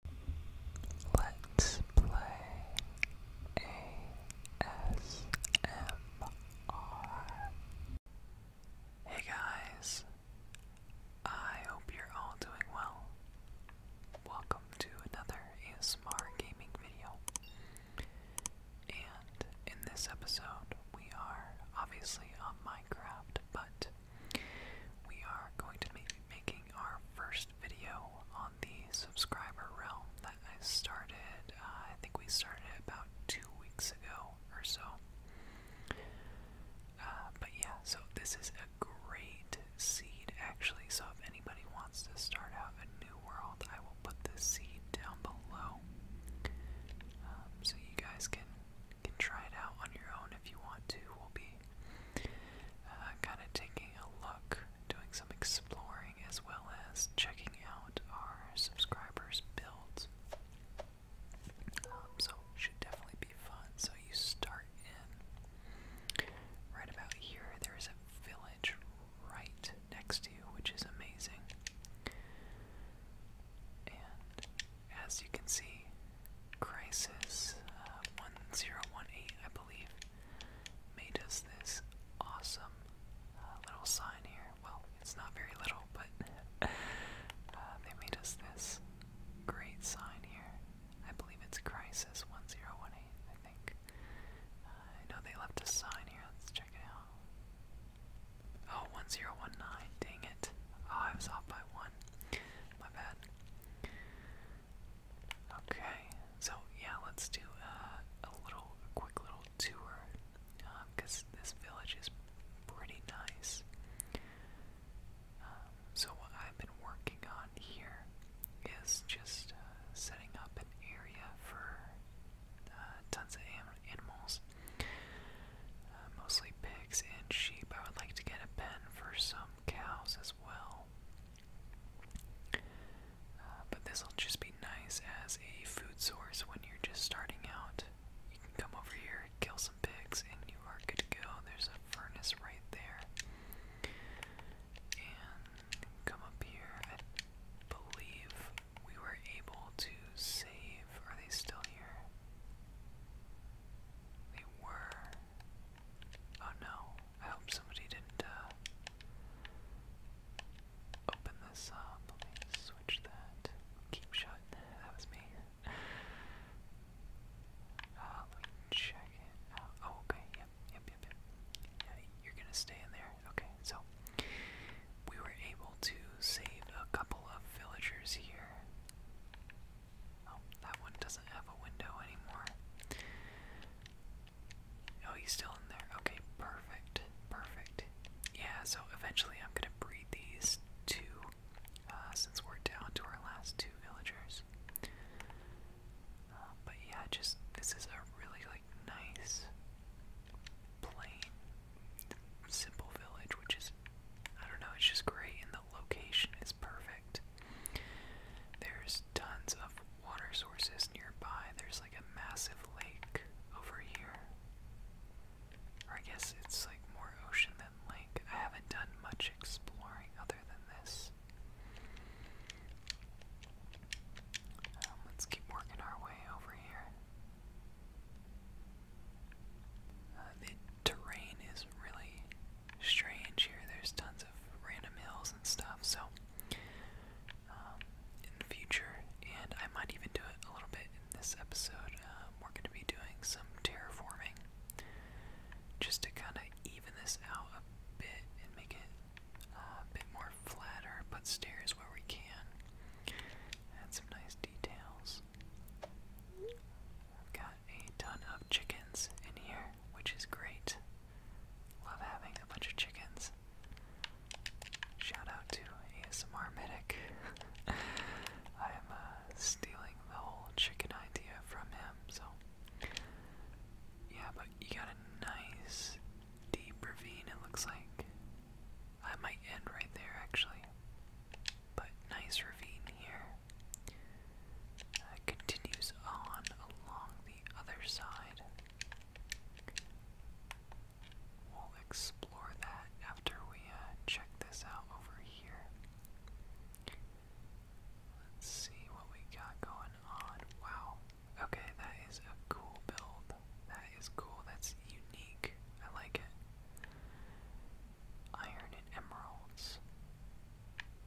Hey guys, I hope you're all doing well. Welcome to another ASMR gaming video. And in this episode, we are obviously on Minecraft, but we are going to be making our first video on the subscriber realm that I started, uh, I think we started about two weeks ago or so. Uh, but yeah, so this is a great seed actually, so if anybody wants to start out a new world, I will put this seed down below. Um, so you guys can can try it out on your own if you want to. We'll be uh, kind of taking a look, doing some exploring, as well as checking out our subscribers' builds. Um, so should definitely be fun. So you start in right about here. There is a village right next to you, which is amazing. And as you can see, Crisis uh, 1018, I believe, made us this awesome uh, little sign here. Well, it's not very little, but uh, they made us this great sign here. I believe it's Crisis 1018, I think. I know they left a sign here. Let's check it out. Oh, 1019. Dang it. Oh, I was off by one. My bad. Okay, so yeah, let's do uh, a little, quick little tour, because uh, this village is pretty nice. Um, so what I've been working on here is just uh, setting up an area for tons of animals, mostly pigs and sheep. I would like to get a pen for some cows as well as well. Uh, but this will just be nice as a food source when you're just starting out. You can come over here, kill some pigs, and you are good to go. There's a furnace right there. And come up here. I believe we were able to save. Are they still here? They were. Oh no, I hope somebody didn't uh, open this up. Let me switch that. Keep shut. That was me. Uh, let me check it out. Oh, okay. Yep, yep, yep, yep. Yeah, you're gonna stay in there. Okay, so we were able to save a couple of villagers here. Oh, that one doesn't have a window anymore. Oh, he's still in there. Okay, perfect. Perfect. Yeah, so eventually I'm gonna breed these two uh, since we're down to our last two villagers. Uh, but yeah, just this is a really like nice, plain, simple village, which is I don't know, it's just great and the location is perfect. There's tons of water sources nearby. There's like a massive lake over here. Or I guess it's like more ocean than lake. I haven't done much exploring other than this. Um, let's keep working our way over here. Uh, the terrain is really strange here. There's tons of random hills and stuff. So um, in the future, and I might even do it a little bit in this episode. Um, we're going to be doing some terraforming, just to kind of even this out a bit and make it uh, a bit more flatter. Put stairs where we can. Add some nice details. I've got a ton of chickens in here, which is great. Love having a bunch of chickens. Shout out to ASMR Medic. I'm uh, stealing the whole chicken idea from him, so. Yeah, but you got a nice deep ravine, it looks like. I might end right there actually. But nice ravine here uh, continues on along the other side. We'll explore that after we uh, check this out over here. Let's see what we got going on. Wow. Okay, that is a cool build. That is cool. That's unique. I like it iron and emeralds.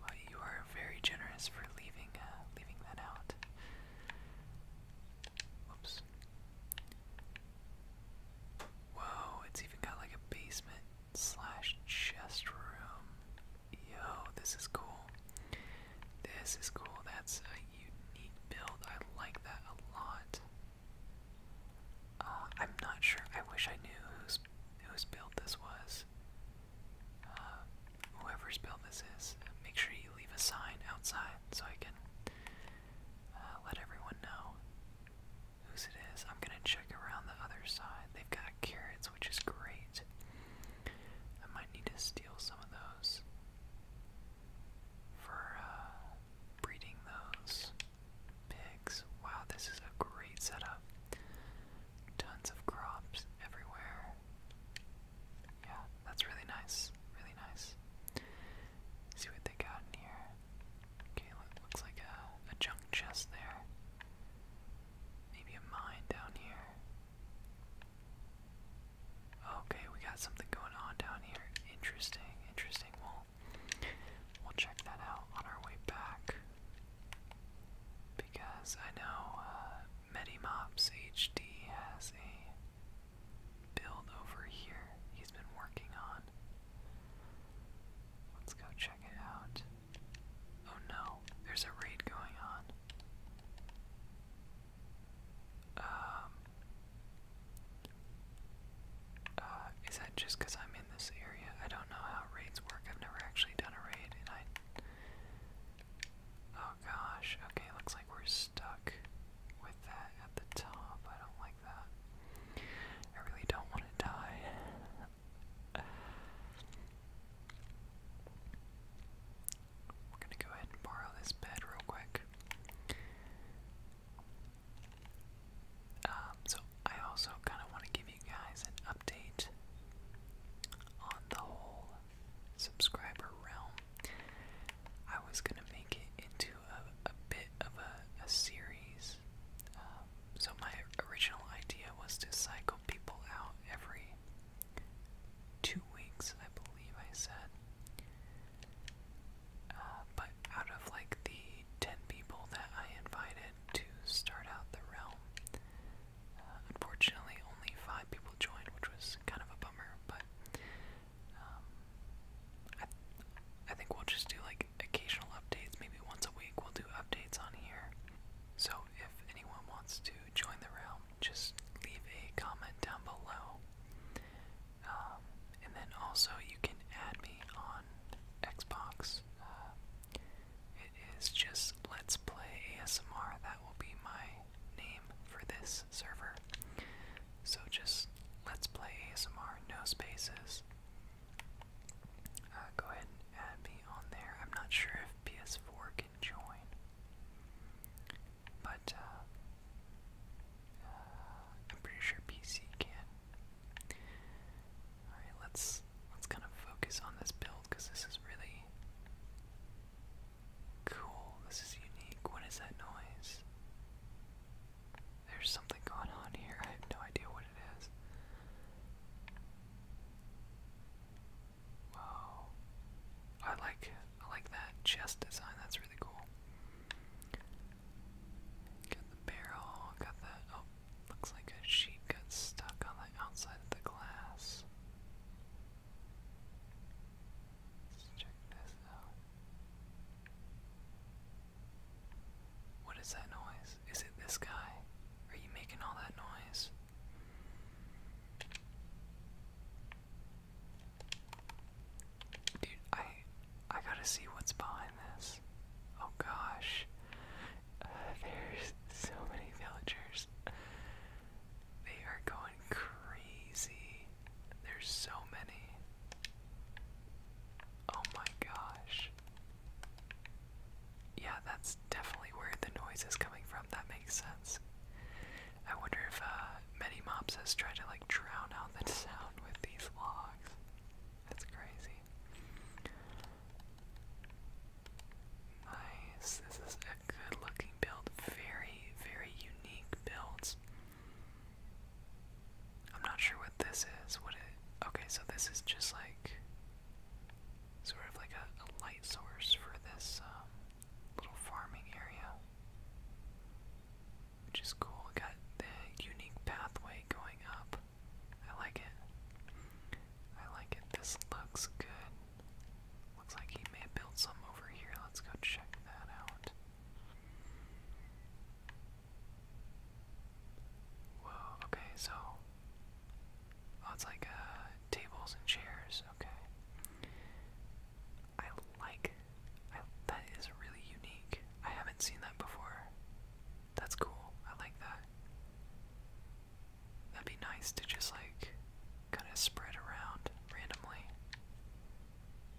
Well, you are very generous for leaving uh, leaving that out. Whoops. Whoa, it's even got like a basement slash chest room. Yo, this is cool. This is cool. That's a unique build. I like that a lot. Uh, I'm not sure. I wish I knew who's whose build this was. Uh, whoever's build this is, make sure you leave a sign outside so I can uh, let everyone know whose it is. I'm gonna check around the other side. They've got carrots, which is great. I might need to steal some of those for uh, breeding those pigs. Wow, this is a great setup. Tons of crops everywhere. Yeah, that's really nice. Really nice. see what they got in here. Okay, looks like a, a junk chest there. Maybe a mine down here. Okay, we got something going on down here. Interesting, interesting. Well, we'll check that out on our way back. Because I know uh, MediMops HD has a build over here he's been working on. Let's go check it out. Oh no, there's a raid going on. Um, uh, is that just because I'm in? this area. I don't know how raids work. I've never actually done a raid, and I. Oh gosh. Okay, looks like we're stuck with that at the top. I don't like that. I really don't want to die. We're gonna go ahead and borrow this bed real quick. Um, so I also kind of want to give you guys an update on the whole subscriber realm. I was gonna make it into a, bit of a, series. Um, so my original idea was to cycle people out every two weeks, I believe I said. Uh, but out of like the ten people that I invited, to start out the realm. Uh, unfortunately, only five people joined, which was kind of a bummer, but um, I, think we'll just do like occasional updates. Maybe once a week we'll do updates on here. So if anyone wants to join the realm, just leave a comment down below. Um, and then also you can add me on Xbox. Uh, it is just Let's Play ASMR. That will be my name for this server. So just Let's Play ASMR, no spaces. Uh, go ahead and add me on there. I'm not sure if PS4 can join. But, uh, uh, I'm pretty sure PC can. All right, let's let's kind of focus on this build because this is really cool. This is unique. What is that noise? There's something going on here. I have no idea what it is. Wow. I like I like that chest design. That's really cool. Got the barrel, got that. Oh, looks like a sheet got stuck on the outside of the glass. Let's check this out. What is that noise? Is it this guy? Are you making all that noise? Dude, I I gotta see what's behind behind this. Oh gosh. Uh, there's so many villagers. They are going crazy. There's so many. Oh my gosh. Yeah, that's definitely where the noise is coming from. That makes sense. I wonder if uh, Many Mops has tried to like drown out the sound with these logs. That's crazy. Nice. This is a good looking build. Very, very unique builds. I'm not sure what this is. What it okay, so this is just like sort of like a, light source for this um, little farming area. Which is cool. Got the unique pathway going up. I like it. I like it. This looks good. Looks like he may have some over here. Let's go check that out. Whoa, okay, so. Oh, it's like uh, tables and chairs. Okay. I like. I, that is really unique. I haven't seen that before. That's cool. I like that. That'd be nice to just like kind of spread around randomly.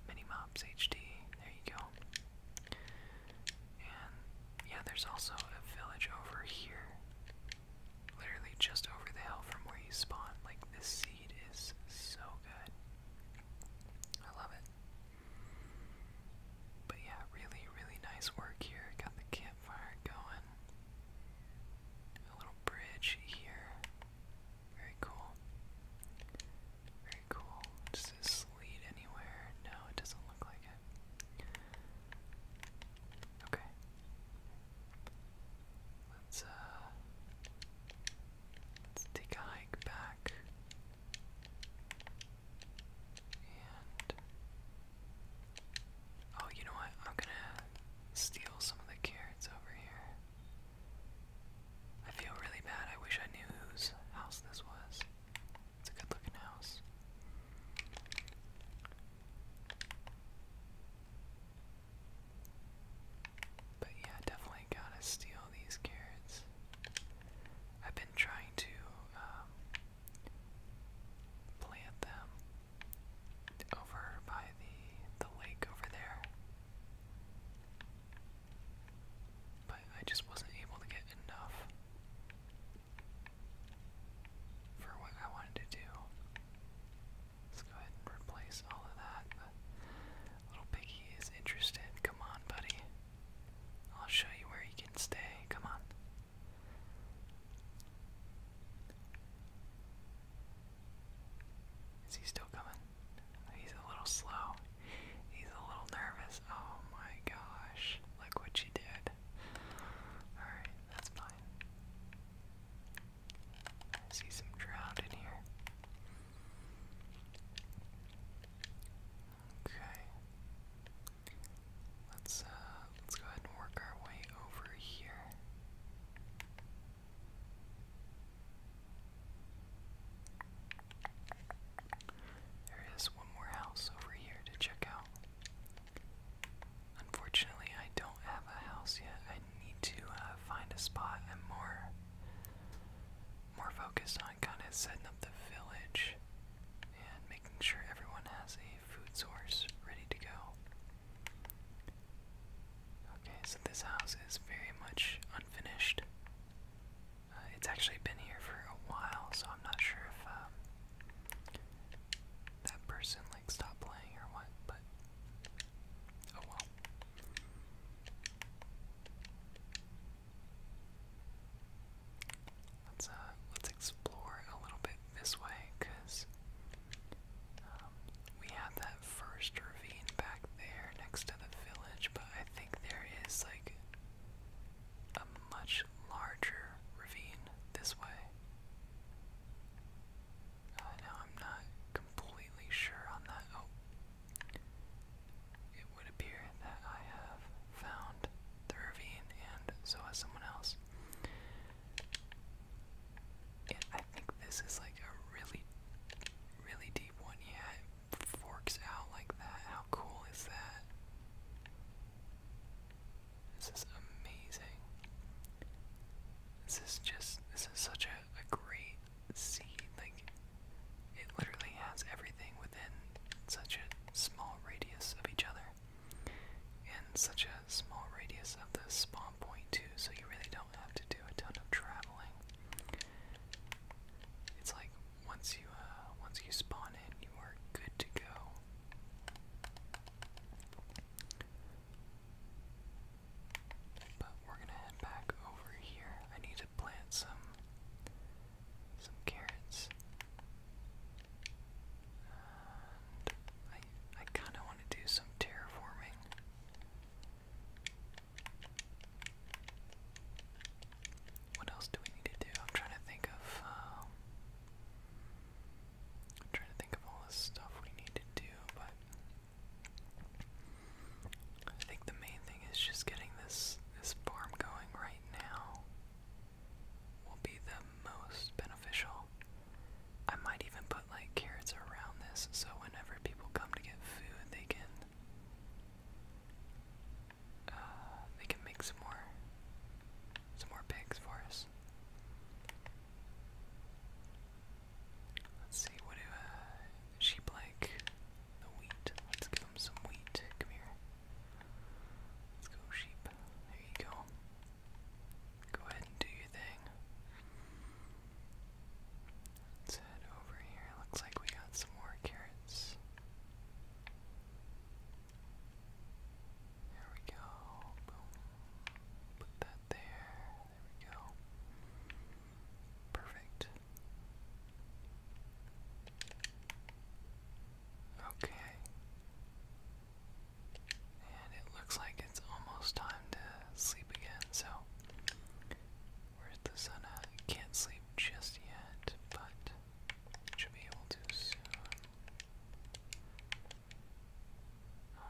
Minimaps HD. There you go. And yeah, there's also a village over here. Literally just over the hill from where you spawn. Like, this seed is so good. I love it. But yeah, really, really nice work here. Got the campfire going. A little bridge here. Very cool. Very cool. Does this lead anywhere? No, it doesn't look like it. Okay. Let's uh let's take a back oh, you know what? I'm gonna steal some of the carrots over here. I feel really bad. I wish I knew whose house this was. It's a good looking house. But yeah, definitely gotta steal these carrots. I've been trying to um, plant them over by the the lake over there, but I just wasn't able to get enough for what I wanted to do. Let's go ahead and replace all of that. little piggy is interested. Come on, buddy. I'll show you where you can stay. Come on. Is he still coming? He's a little slow. He's a little nervous. Oh my gosh. Look what you did. Alright, that's fine. see some drought in here. Okay. Let's uh let's go ahead and work our way over here. There is one more house over here to check out. Unfortunately, I don't have a house yet. I need to uh, find a spot. I'm more more focused on on kind of setting up the village and making sure everyone has a food source ready to go. Okay, so this house is very much unfinished. Uh, it's actually been here for a while, so I'm not sure if um, that person like stopped playing or what, but oh well. Let's uh let's explore a little bit this way because um, we have that first ravine back there next to the village, but I think there is like a much larger ravine this way. Uh, now I'm not completely sure on that. Oh, it would appear that I have found the ravine, and so has someone else. I think this is like a really, really deep one. Yeah, forks out like that. How cool is that? This is amazing. This is just, this is such a, a great scene. Like, it literally has everything within such a small radius of each other, and such a small radius of the spawn point, too, so you really don't have to do a ton of traveling. It's like once you uh, once you spawn in, you are good to go. But we're gonna head back over here. I need to plant some some carrots. I I kind of want to do some terraforming. What else do we need to do? I'm trying to think of. Um, trying to think of all the stuff we need to do, but I think the main thing is just getting this this farm going right now will be the most beneficial. I might even put like carrots around this so whenever people come to get food they can uh, they can make some more some more pigs for us. Let's see, what do uh, sheep like? The wheat. Let's give him some wheat. Come here. Let's go, sheep. There you go. Go ahead and do your thing. Let's head over here. Looks like we got some more carrots. There we go. Put that there. There we go. Perfect. Okay. And it looks like it's almost time to sleep again, so where's the sun at? Can't sleep just yet, but should be able to soon. Um,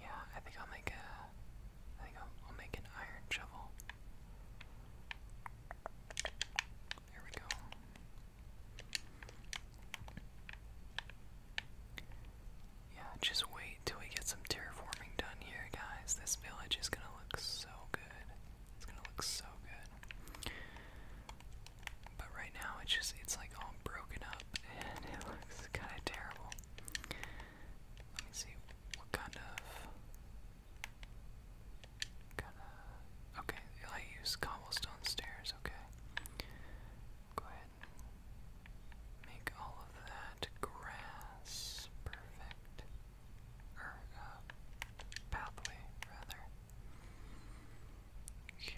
yeah, I think I'll make a. I think I'll, make an iron shovel. There we go. Yeah, just wait till we get some terraforming done here, guys. This village is gonna look so good. It's gonna look so good. But right now it's just it's like all broken up and it looks kind of terrible. Let me see what kind of kind of okay. I use cobblestone stairs. Okay, go ahead. make all of that grass perfect uh, pathway rather. Okay.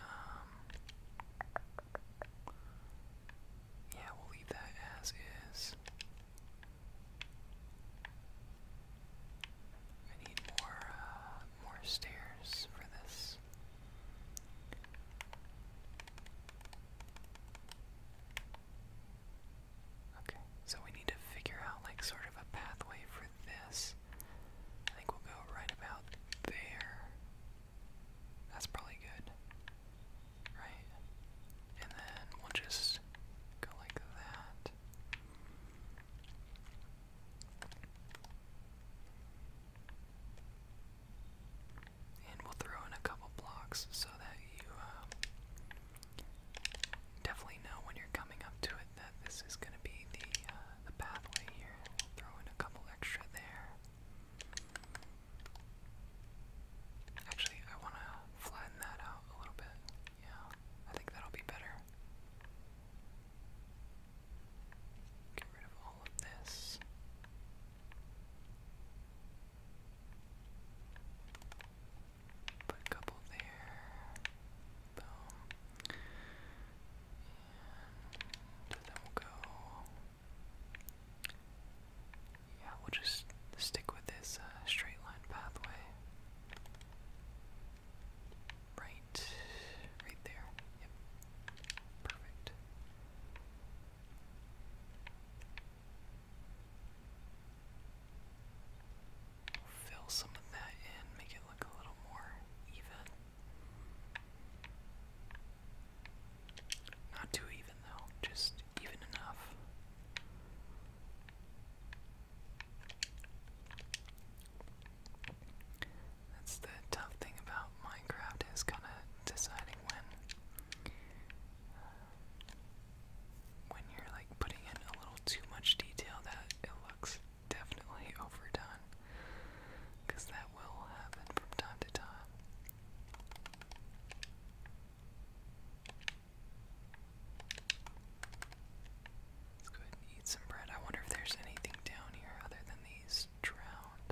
Um, yeah, we'll leave that as is. I need more uh, more stairs for this. Okay, so we need to figure out like sort of a pathway for this. I think we'll go right about there. That's probably good. Right? And then we'll just go like that. And we'll throw in a couple blocks so that you um, definitely know when you're coming up to it that this is going to be the uh, the pathway here. Throw in a couple extra there. Actually, I want to flatten that out a little bit. Yeah, I think that'll be better. Get rid of all of this. Put a couple there. And then we'll go. Yeah, we'll just stick with this uh, straight line pathway. Right, right there. Yep. Perfect. fill some of that in, make it look a little more even. Not too even though, just even enough. That's the tough thing about Minecraft is kind of deciding when uh, when you're like putting in a little too much detail that it looks definitely overdone because that will happen from time to time. Let's go ahead and eat some bread. I wonder if there's anything down here other than these drowned.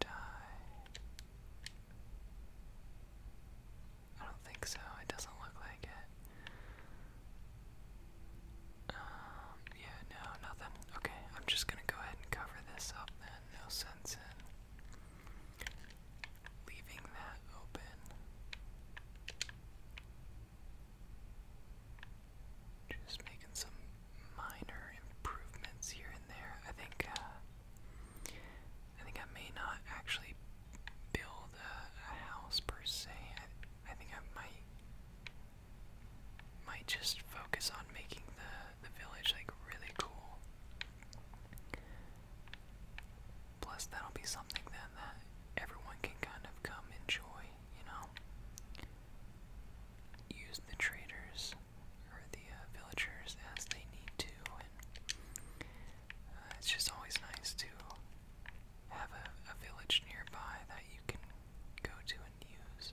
Die. I don't think so. It doesn't look like it. Um, yeah, no, nothing. Okay, I'm just gonna go ahead and cover this up then. No sense in leaving that open. Just making some minor improvements here and there. I think uh, I think I may not actually build a, house per se. I, think I might might just focus on making the the village like really cool. Plus, that'll be something then that everyone can kind of come enjoy, you know. Use the traders or the uh, villagers as they need to. Uh, it's just always nice to have a, village nearby that you can go to and use.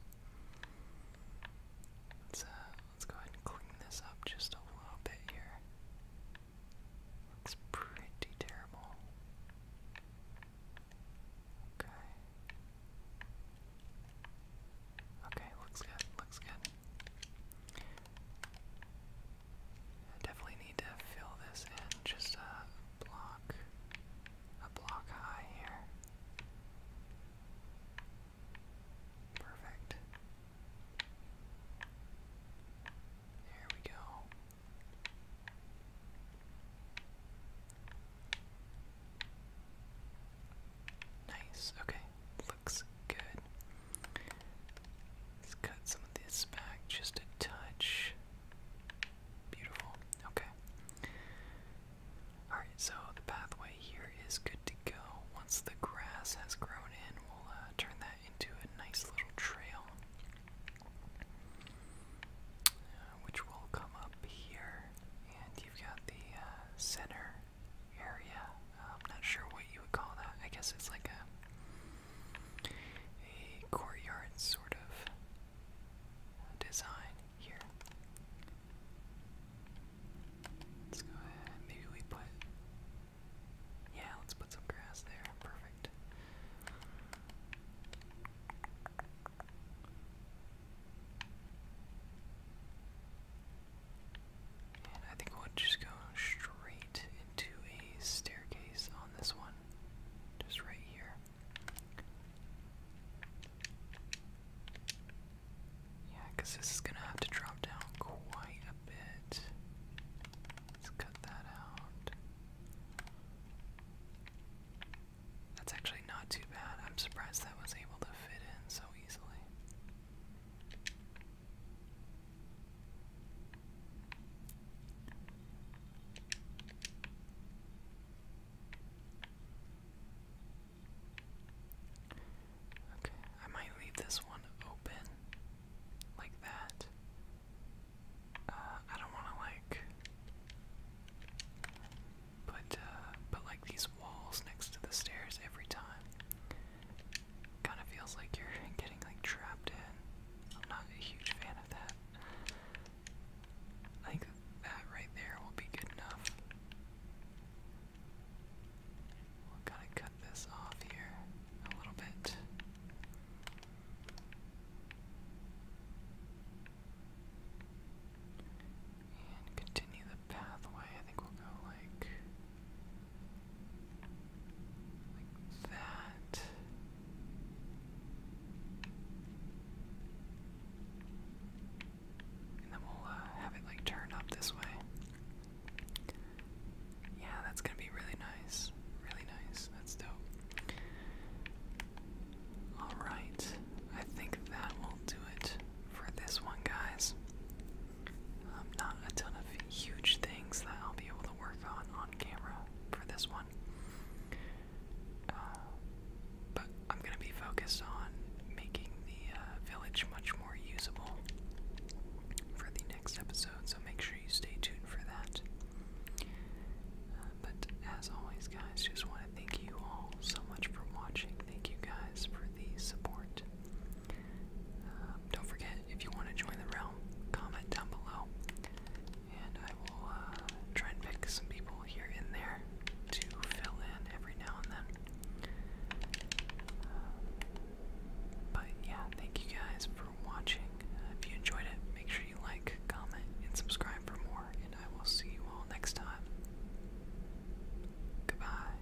let let's go ahead and clean this up just a little bit here. Looks pretty terrible. Okay. Okay, looks good, looks good. I Definitely need to fill this in just a block, a block high here. Perfect. There we go. Nice, okay, looks good. Let's cut some of this back just a touch. Beautiful. Okay. Alright, so the pathway here is good to go. Once the grass has grown in, we'll uh, turn that into a nice little trail. Uh, which will come up here, and you've got the uh, center area. I'm not sure what you would call that. I guess it's like a a courtyard sort of design here. Let's go ahead. Maybe we put. Yeah, let's put some grass there. Perfect. I think we'll just go straight into a staircase on this one. Just right here. Yeah, because this is going to have to drop down quite a bit. Let's cut that out. That's actually not too bad. I'm surprised that was able to fit in so easily. Okay, I might leave this one open like that. Uh, I don't want to like put uh, put like these walls next to the stairs every time. Kind of feels like you're getting like trapped in. I'm not a huge fan of that. I think that right there will be good enough. We'll kind of cut this off here a little bit. And continue the pathway. I think we'll go like like that. And then we'll uh, have it like turn up this way. Yeah, that's gonna be really nice. Really nice. That's dope. Alright, I think that will do it for this one, guys. Um, not a ton of huge things that I'll be able to work on on camera for this one. Uh, but I'm going to be focused on making the uh, village much more usable for the next episode, so make sure you stay tuned for that. Uh, but as always, guys, just want to thank you all so much for watching. Thank you guys for the support. Um, don't forget, if you want to join the realm, comment down below, and I will uh, try and pick some people here and there to fill in every now and then. but yeah, thank you guys for watching. if you enjoyed it, make sure you like, comment, and subscribe for more, and I will see you all next time. Goodbye.